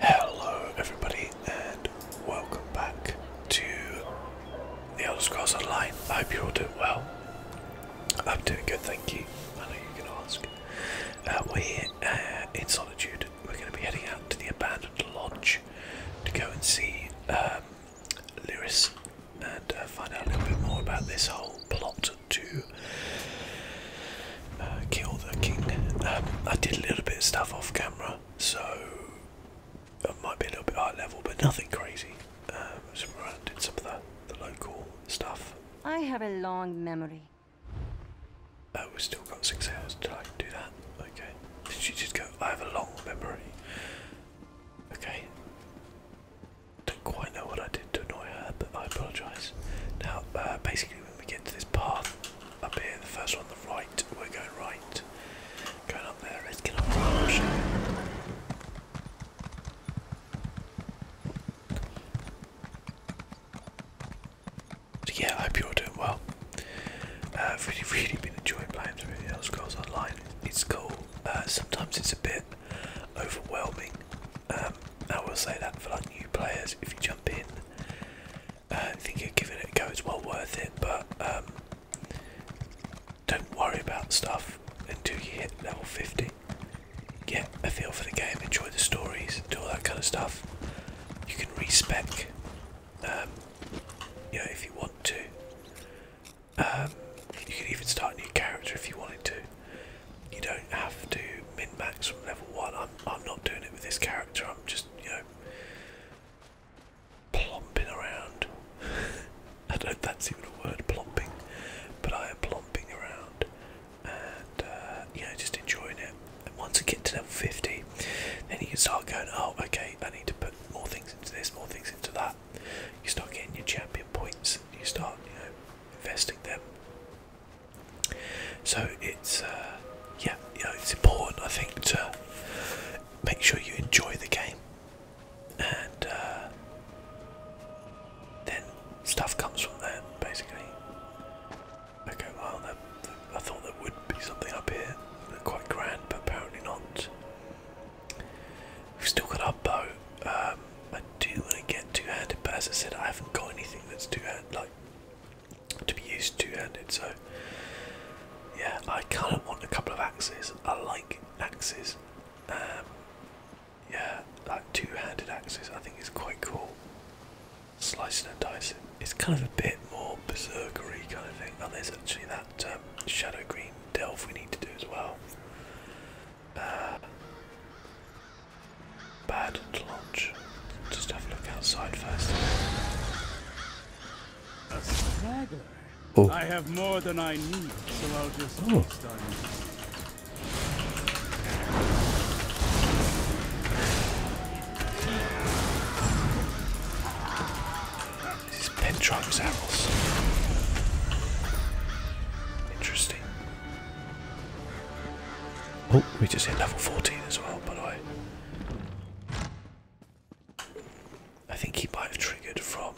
Hello, everybody, and welcome back to the Elder Scrolls Online. I hope you're all doing well. I'm doing good, thank you. I know you can ask. Uh, we're here uh, in Solitude. We're going to be heading out to the abandoned lodge to go and see um, Lyris and uh, find out a little bit more about this whole plot to uh, kill the king. Um, I did a little bit of stuff off camera, so it might be a little bit high level, but nothing crazy. Um, I did some of the, the local stuff. I have a long memory. Uh, we've still got six hours till I can do that. Okay. Did you just go? I have a long memory. Okay. Don't quite know what I did to annoy her, but I apologise. Now, uh, basically, we get to this path up here, the first one the right, we're going right. Going up there, let's up the yeah, I hope you're doing well. Uh, I've really, really been enjoying playing through the Elder Scrolls Online. It's cool. Uh, sometimes it's a bit overwhelming. Um, I will say that for like new players, if you uh, I think you're giving it a go, it's well worth it, but um, don't worry about stuff until you hit level 50. Get a feel for the game, enjoy the stories, do all that kind of stuff. You can respec, um, you know, if you want to. Um, you can even start a new character if you wanted to you don't have to min max from level one. I'm I'm not doing it with this character. I'm just you know plomping around. I don't know if that's even a word, plomping, but I am plomping around and uh, just enjoying it. And once you get to level 50, then you can start going. Oh, okay, I need to put more things into this, more things into that. You start getting your champion points. You start you know investing them so it's uh, yeah, it's important I think to make sure you enjoy the game, and uh, then stuff comes from there, basically. Okay, well, I thought there would be something up here, quite grand, but apparently not. We've still got our boat. Um, I do want to get two-handed, but as I said, I haven't got anything that's two-handed, like to be used two-handed. So yeah, I kind of want a couple of axes. I like axes. Um, yeah, like two-handed axes. I think is quite cool. Slicing and dicing. It's kind of a bit more berserkery kind of thing. And oh, there's actually that um, shadow green delve we need to do as well. Uh, bad to launch. Just have a look outside first. Oh. I have more than I need, so I'll just oh. waste on Interesting. Oh, we just hit level 14 as well, By the way, I think he might have triggered from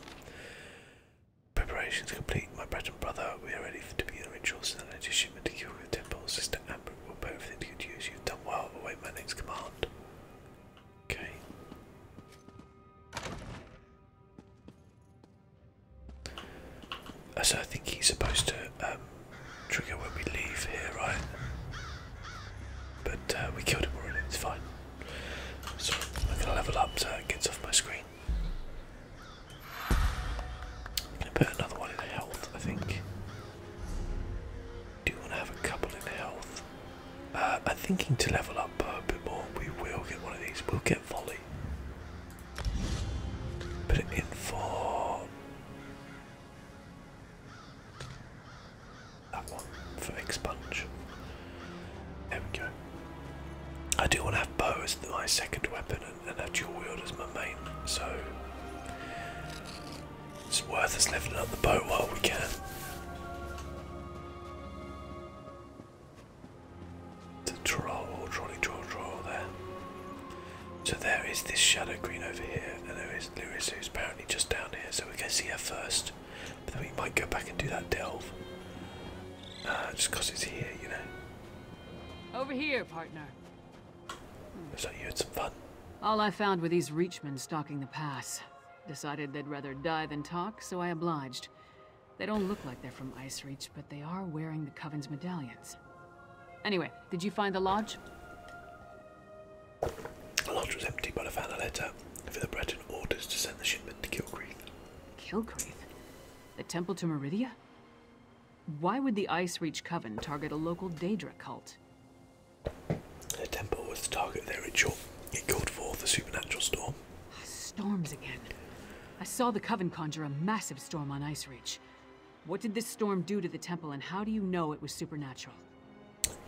preparations complete. My bread and brother, we are ready to be in rituals and an addition to kill with temple Sister Amber will put everything to good use. You've done well. Await my next command. Okay. So I think he's supposed to um, trigger when we leave here, right? But uh, we killed him already, it's fine. So I'm going to level up so it gets off my screen. I'm going to put another one in health, I think. Do want to have a couple in health? Uh, I'm thinking to level up uh, a bit more. We will get one of these. We'll get volley. Put it in for that one for expunge. There we go. I do want to have bow as my second weapon and, and have dual wield as my main, so it's worth us leveling up the bow while we can to troll, or trolley troll troll there. So there is this shadow green over here, and there is Lewis who's apparently just down here, so we can see her first. But then we might go back and do that delve. Uh, just because it's here, you know. Over here, partner. Looks hmm. you had some fun. All I found were these reachmen stalking the pass. Decided they'd rather die than talk, so I obliged. They don't look like they're from Ice Reach, but they are wearing the Coven's medallions. Anyway, did you find the lodge? The lodge was empty, but I found a letter for the Breton orders to send the shipment to Kilcreath. Kilcreath? The temple to Meridia? Why would the Ice Reach Coven target a local Daedra cult? The temple was the target of their ritual. It called forth a supernatural storm. Ah, storms again. I saw the Coven conjure a massive storm on Ice Reach. What did this storm do to the temple, and how do you know it was supernatural?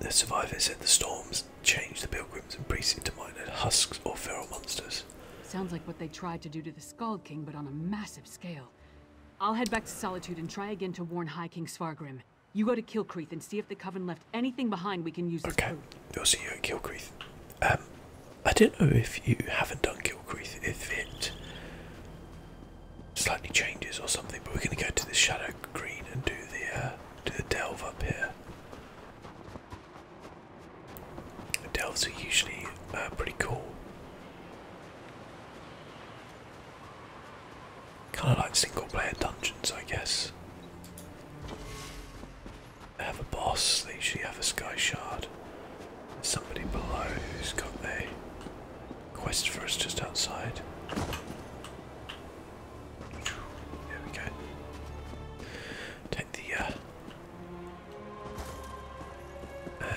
The survivor said the storms changed the pilgrims and priests into minor husks or feral monsters. Sounds like what they tried to do to the Scald King, but on a massive scale. I'll head back to Solitude and try again to warn High King Svargrim. You go to Kilcreath and see if the Coven left anything behind we can use okay. as food. Okay, will see you at Kilcreath. Um, I don't know if you haven't done Gilcreath, if it slightly changes or something, but we're going to go to the shadow green and do the uh, do the delve up here. delves are usually uh, pretty cool. Kind of like single player dungeons, I guess. They have a boss, they usually have a sky shard somebody below who's got a quest for us just outside. There we go. Take the uh,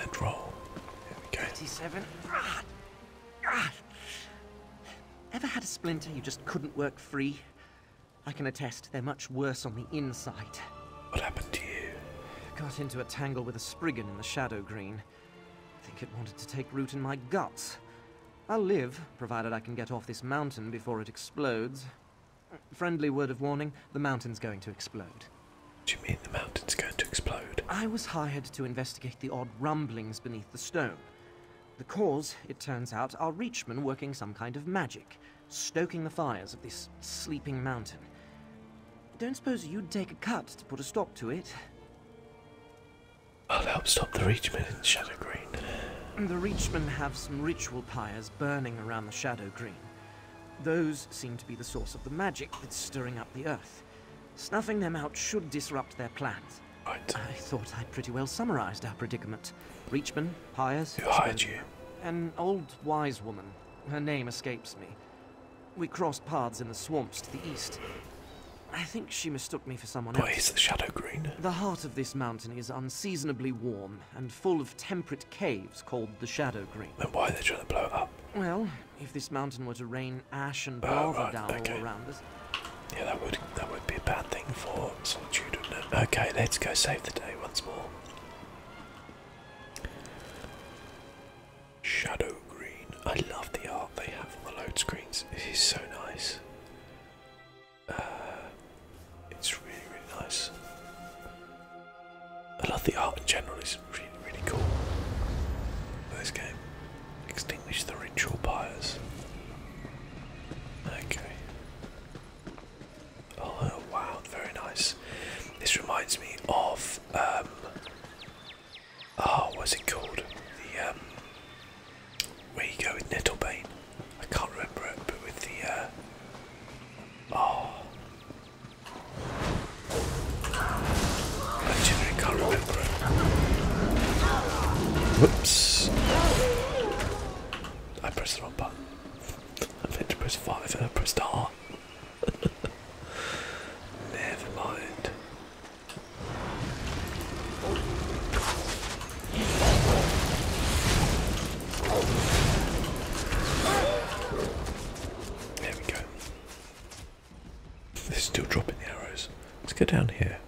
and roll. There we go. 37. Ah, ah. Ever had a splinter you just couldn't work free? I can attest they're much worse on the inside. What happened to you? Got into a tangle with a Spriggan in the Shadow Green. I think it wanted to take root in my guts. I'll live, provided I can get off this mountain before it explodes. Friendly word of warning, the mountain's going to explode. Do you mean the mountain's going to explode? I was hired to investigate the odd rumblings beneath the stone. The cause, it turns out, are Reachmen working some kind of magic, stoking the fires of this sleeping mountain. Don't suppose you'd take a cut to put a stop to it? I'll help stop the Reachmen in Shadow Green. The Reachmen have some ritual pyres burning around the Shadow Green. Those seem to be the source of the magic that's stirring up the earth. Snuffing them out should disrupt their plans. Right. I thought I would pretty well summarized our predicament. Reachmen, pyres... Who hired you? An old wise woman. Her name escapes me. We crossed paths in the swamps to the east. I think she mistook me for someone what else. What is the Shadow Green? The heart of this mountain is unseasonably warm and full of temperate caves called the Shadow Green. Then why are they trying to blow it up? Well, if this mountain were to rain ash and oh, lava down around us. Yeah, that would that would be a bad thing for solitude, wouldn't it? Okay, let's go save the day once more. Shadow green. I love the art they have on the load screens. It is so nice. Uh, it's really, really nice. I love the art in general. It's really, really cool. For game, extinguish the ritual fires. Okay. Oh wow, very nice. This reminds me of with um oh it called the um where you go with nettlebain? I can't remember it but with the uh oh I can't remember it whoops I pressed the wrong button I meant to press five and I pressed R Never mind. There we go. They're still dropping the arrows. Let's go down here.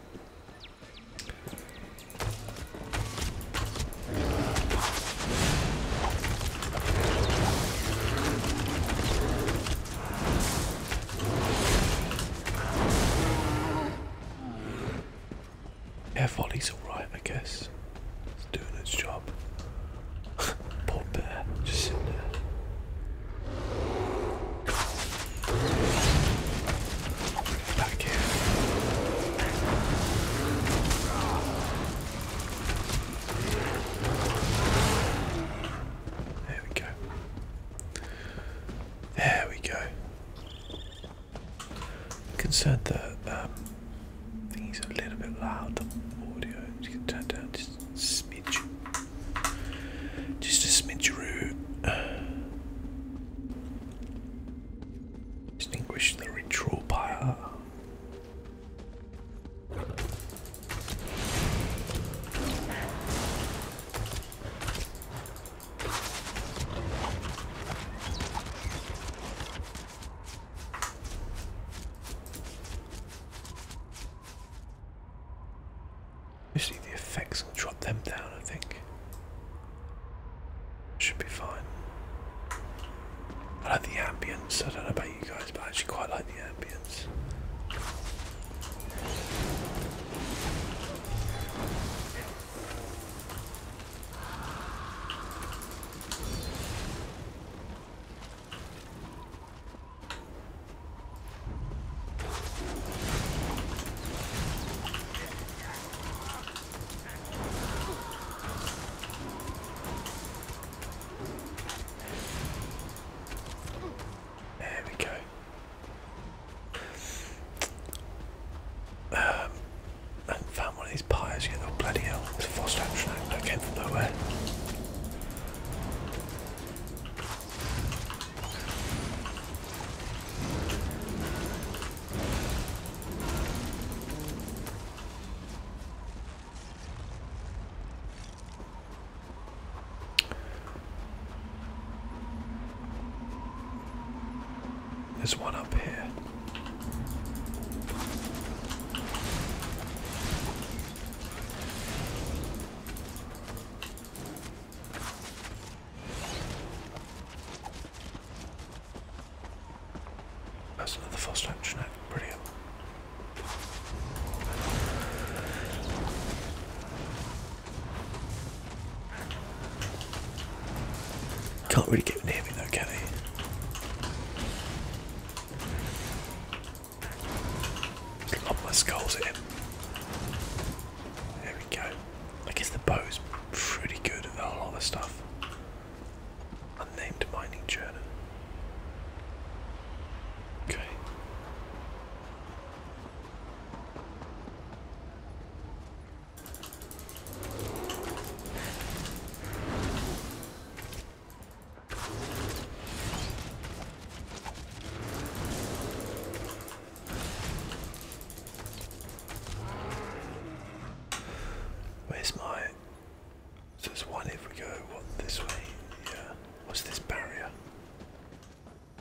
Air volley's alright, I guess. It's doing its job. Poor bear, just sitting there. Back here. There we go. There we go. concerned that um, things are a little bit loud. The audio just going turn down just a smidge. Just a smidgeroo. Extinguish the ritual pyre. Usually the effects will drop them down, I think. Should be fine. I like the ambience, I don't know about you guys, but I actually quite like the ambience. There we go. I um, found one of these pyres yet. bloody hell! It's a forced action. That came from nowhere. There's one up here. That's another fast action act, brilliant. Can't really get near me though, can he? Lob my skulls at him. There we go. I guess the bow is pretty good at a lot of stuff. Unnamed mining journal. Okay. Where's my so there's one if we go this way. Yeah. What's this barrier?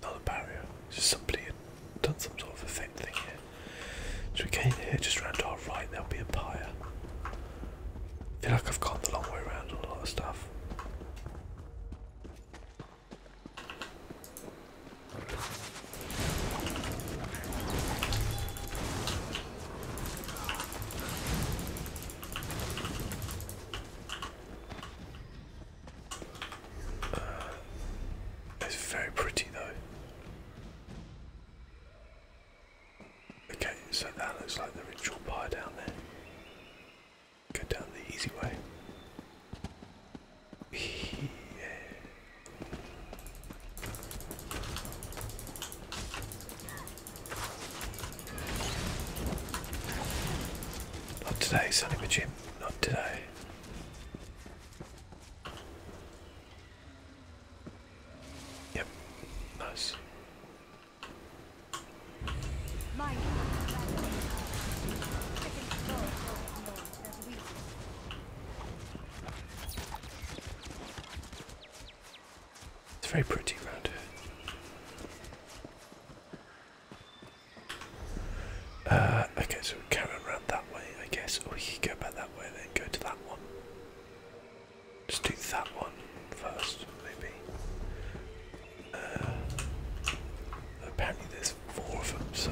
Not a barrier. just somebody had done some sort of effect thing here. So we came here, just round to our right, there'll be a pyre. I feel like I've gone the long way around on a lot of stuff. Uh, it's very pretty though. Okay, so that looks like the ritual pie down there. Go down the easy way. Not today, Sonny Jim. Not today. Yep. Nice. It's very pretty around here. Uh, okay, so we carry around that way, I guess, or we could go back that way then go to that one. Just do that one first, maybe. Uh, apparently, there's four of them, so.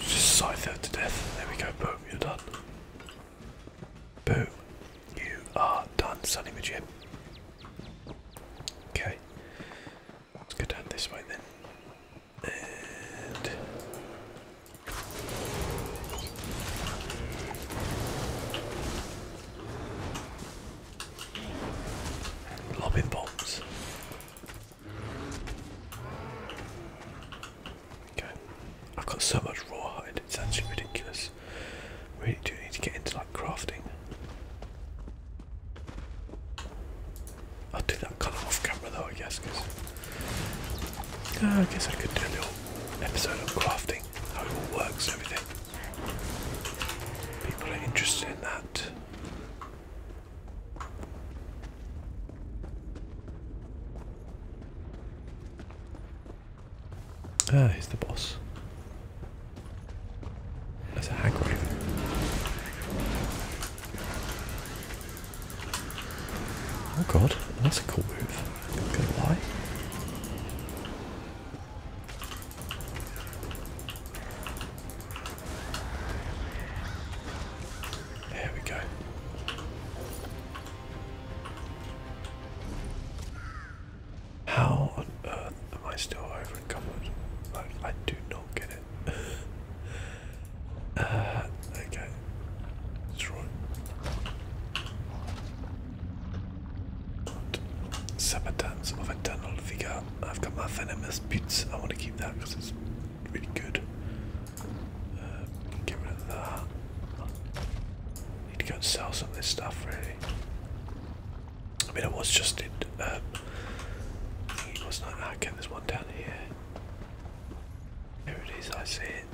Just scythe her to death. There we go, boom, you're done. Boom. You are done, Sonny Majib. Okay. Let's go down this way then. And lobbing Okay. I've got so much rawhide, it's actually ridiculous. Really do need to get into like crafting. I'll do that colour off camera though, I guess, because uh, I guess I could do a little episode of crafting, how it all works, everything. People are interested in that. Ah, he's the boss. That's a hag Oh god, that's a cool move. gonna lie. There we go. How on earth am I still over encumbered? I, I do not get it. Uh, okay. Destroy. Sabatans of Eternal Vigor. I've got my venomous boots. I want to keep that because it's really good. Uh, get rid of that. Need to go and sell some of this stuff, really. I mean, I was just in. Um, it was not. Okay, there's one down here. There it is, I see it.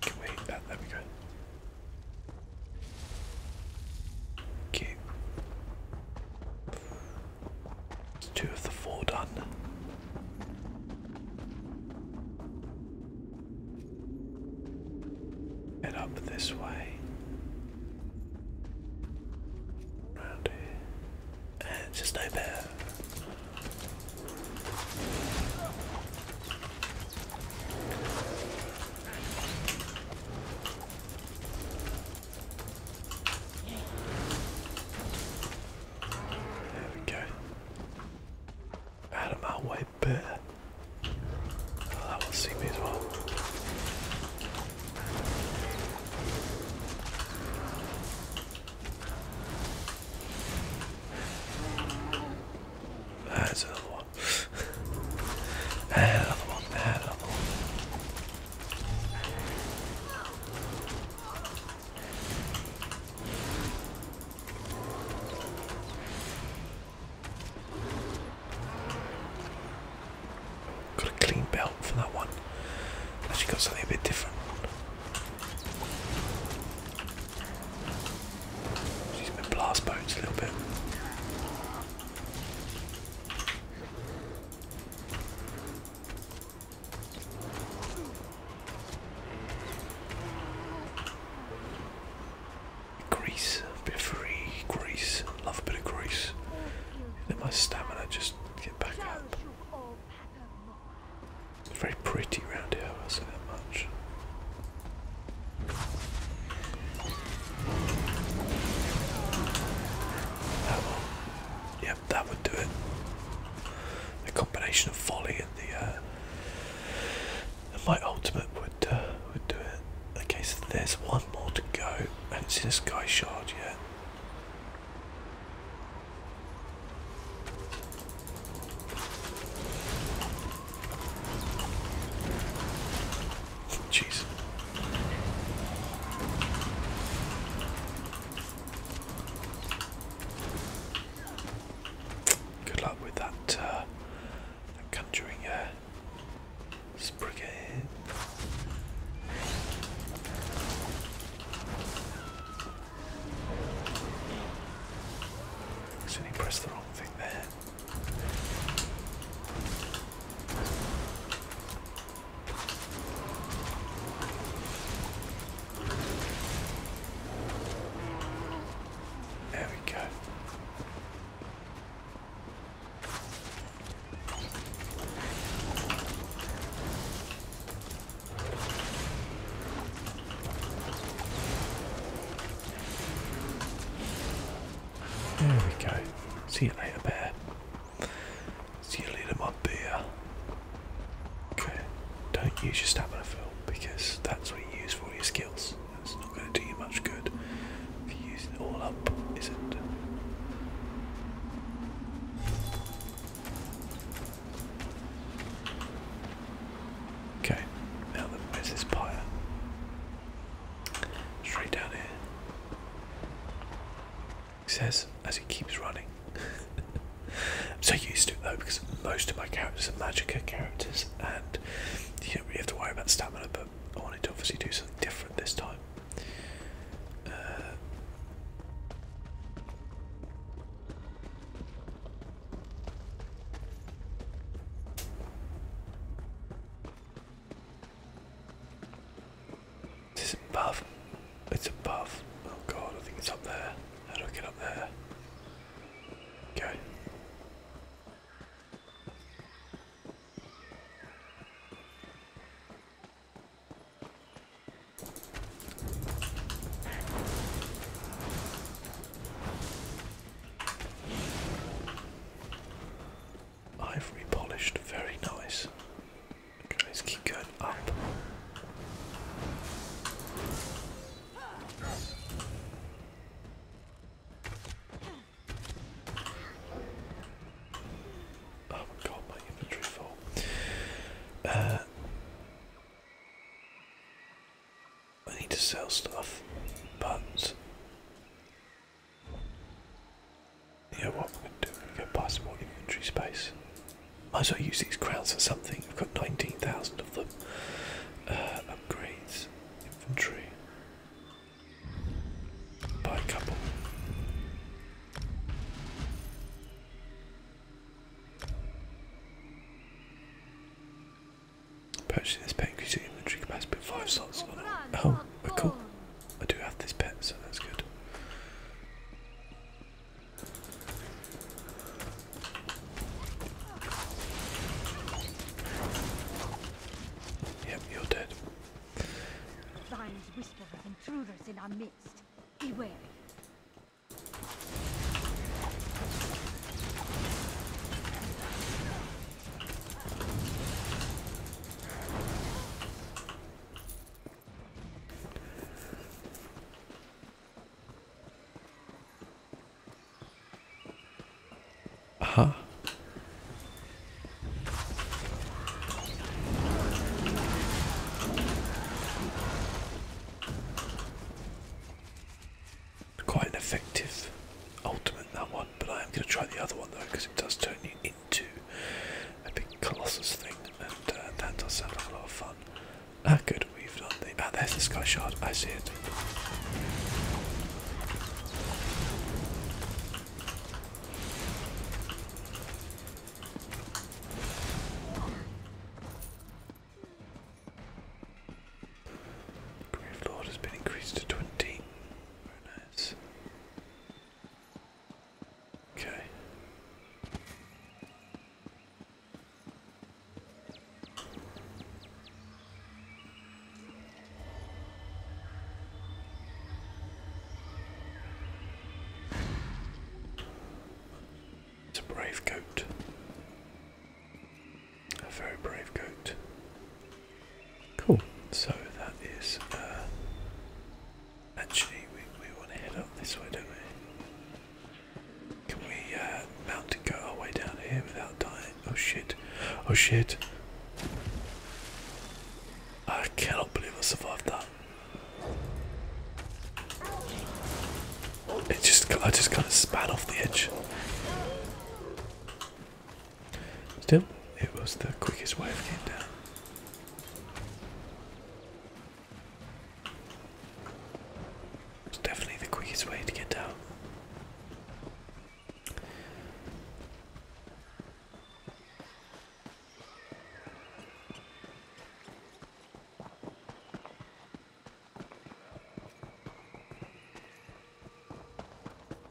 Can uh, there we go. Cute. It's two of the four done. Head up this way. Round here. And just no there we go. Out of my way, bit. Oh, that will see me as well. another one. another one. another one. Got a clean belt for that one. Actually, got something a bit different. She's been blast boats a little bit. Grease, a bit of free grease, love a bit of grease. Let my stamina just get back up. It's very pretty round here, I'll say that much. Yep, that would do it. The combination of volley and the my uh, ultimate would uh, would do it. Okay, so there's one more to go, and it's in a sky shard yet. Jeez. Good luck with that, uh, conjuring uh, sprigget. pressed the wrong thing there. There we go. There we go. See you later, bear. So you lead them up here. Okay, don't use your stamina fill because that's what you use for your skills. That's not going to do you much good if you use it all up, is it? Okay, now then, where's this pyre? Straight down here he says as he keeps running. I'm so used to it though because most of my characters are Magicka characters and you don't really have to worry about stamina but I wanted to obviously do something different this time. It's above? It's above. Oh god, I think it's up there. How do I get up there? Okay. Ivory polished, very nice. let's keep going up. Oh god, my inventory full. Uh, I need to sell stuff, but yeah, what we're going to do, we're going to go buy some more inventory space. Might as well use these crowns for something. i have got 19,000 of them. Uh, upgrades, infantry. Buy a couple. Purchasing this paint increases your inventory capacity by 5 slots. Oh, oh cool. I do have this pet, so that's good. Yep, you're dead. Signs whisper of intruders in our midst. Beware. Aha. Quite an effective ultimate that one, but I am going to try the other one though because it does turn you into a big colossus thing, and uh, that does sound like a lot of fun. Ah, good, we've done the. Ah, there's the sky shard, I see it. Grave Lord has been increased to 20. Very nice. Okay. It's a brave goat. A very brave goat. Cool. So that is uh, Actually, we, we want to head up this way, don't we? Can we uh, mount and go our way down here without dying? Oh shit. Oh shit. I cannot believe I survived that. It just, I just kind of span off the edge. Still, it was the quickest way of getting down. It's definitely the quickest way to get down.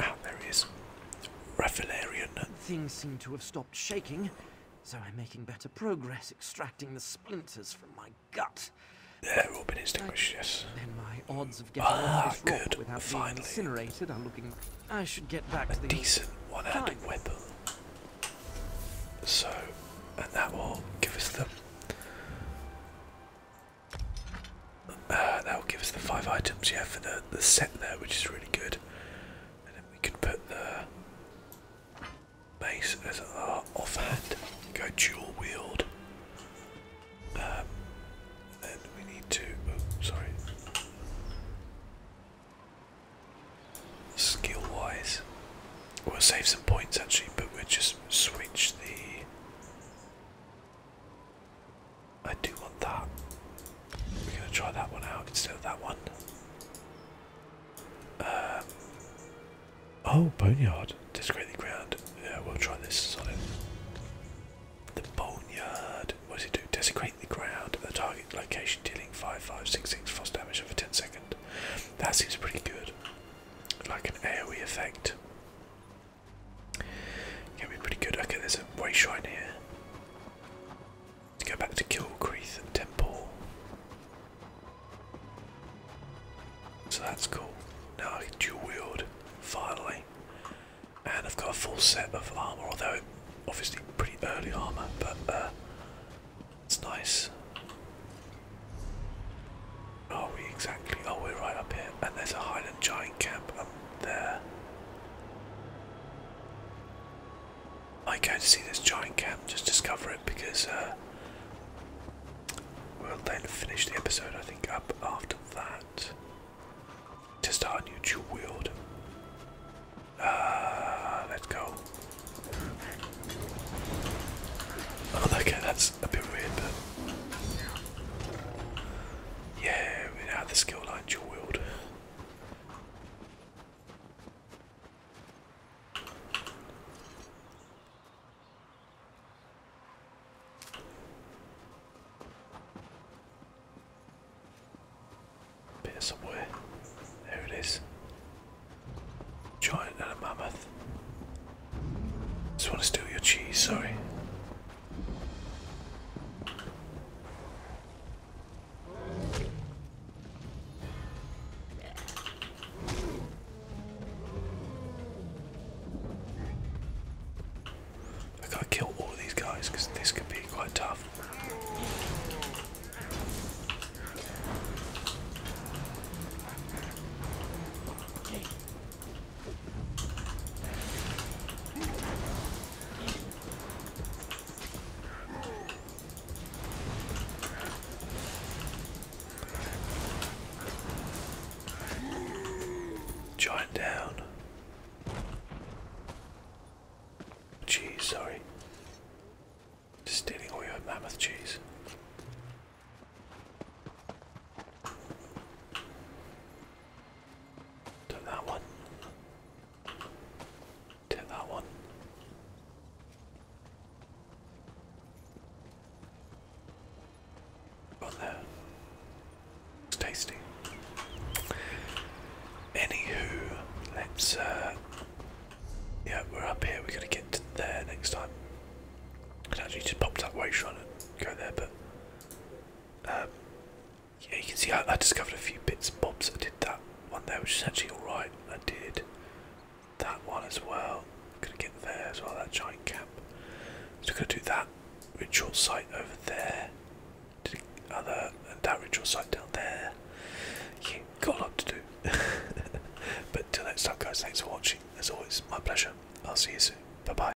Ah, there he is. Raphaelarian. Things seem to have stopped shaking, so I'm making better progress extracting the splinters from my gut. They're all been extinguished, yes. Then my odds of getting ah, this good. without Finally. being incinerated are looking... I should get back a to the... decent one-handed weapon. So, and that will give us the uh, that will give us the five items, yeah, for the the set there, which is really good. And then we can put the base as our offhand. Go dual wield. Um, and we need to. Oh, sorry. Skill wise, we'll save some points actually, but we'll just switch the. I do want that. We're gonna try that one out instead of that one. Um, oh, boneyard. Discreetly ground. Yeah, we'll try this on it. The boneyard. What does it do? Desecrate the ground at the target location, dealing 5566 frost damage over 10 seconds. That seems pretty good. Like an AoE effect going be pretty good. Okay, there's a way shrine here. To go back to Kilcreath Temple. So that's cool. Now I can dual wield, finally. And I've got a full set of armour, although obviously pretty early armour, but uh, it's nice. Are we exactly? Oh, we're right up here. And there's a Highland Giant camp, there. I go to see this giant camp, just discover it because uh, we'll then finish the episode, I think, up after that to start new dual wield. Uh, let's go. Oh, okay, that's a bit weird, but. Yeah, without the skill line dual wield. Bit of somewhere. There it is. Giant and a mammoth. Just want to steal your cheese, sorry. I gotta kill all of these guys because this could be quite tough. Giant down. Cheese, sorry. Just stealing all your mammoth cheese. Take that one. Take that one. On there. It's tasty. Anywho, let's uh, yeah, we're up here, we're gonna get to there next time. I actually just pop that way trying to go there, but um, yeah, you can see I, discovered a few bits and bobs. I did that one there, which is actually alright. I did that one as well. I'm gonna get there as well, that giant camp. So I'm gonna do that ritual site over there. Did other and that ritual site down there. Yeah, got a lot to do. but till next time guys, thanks for watching. As always, my pleasure. I'll see you soon. Bye bye.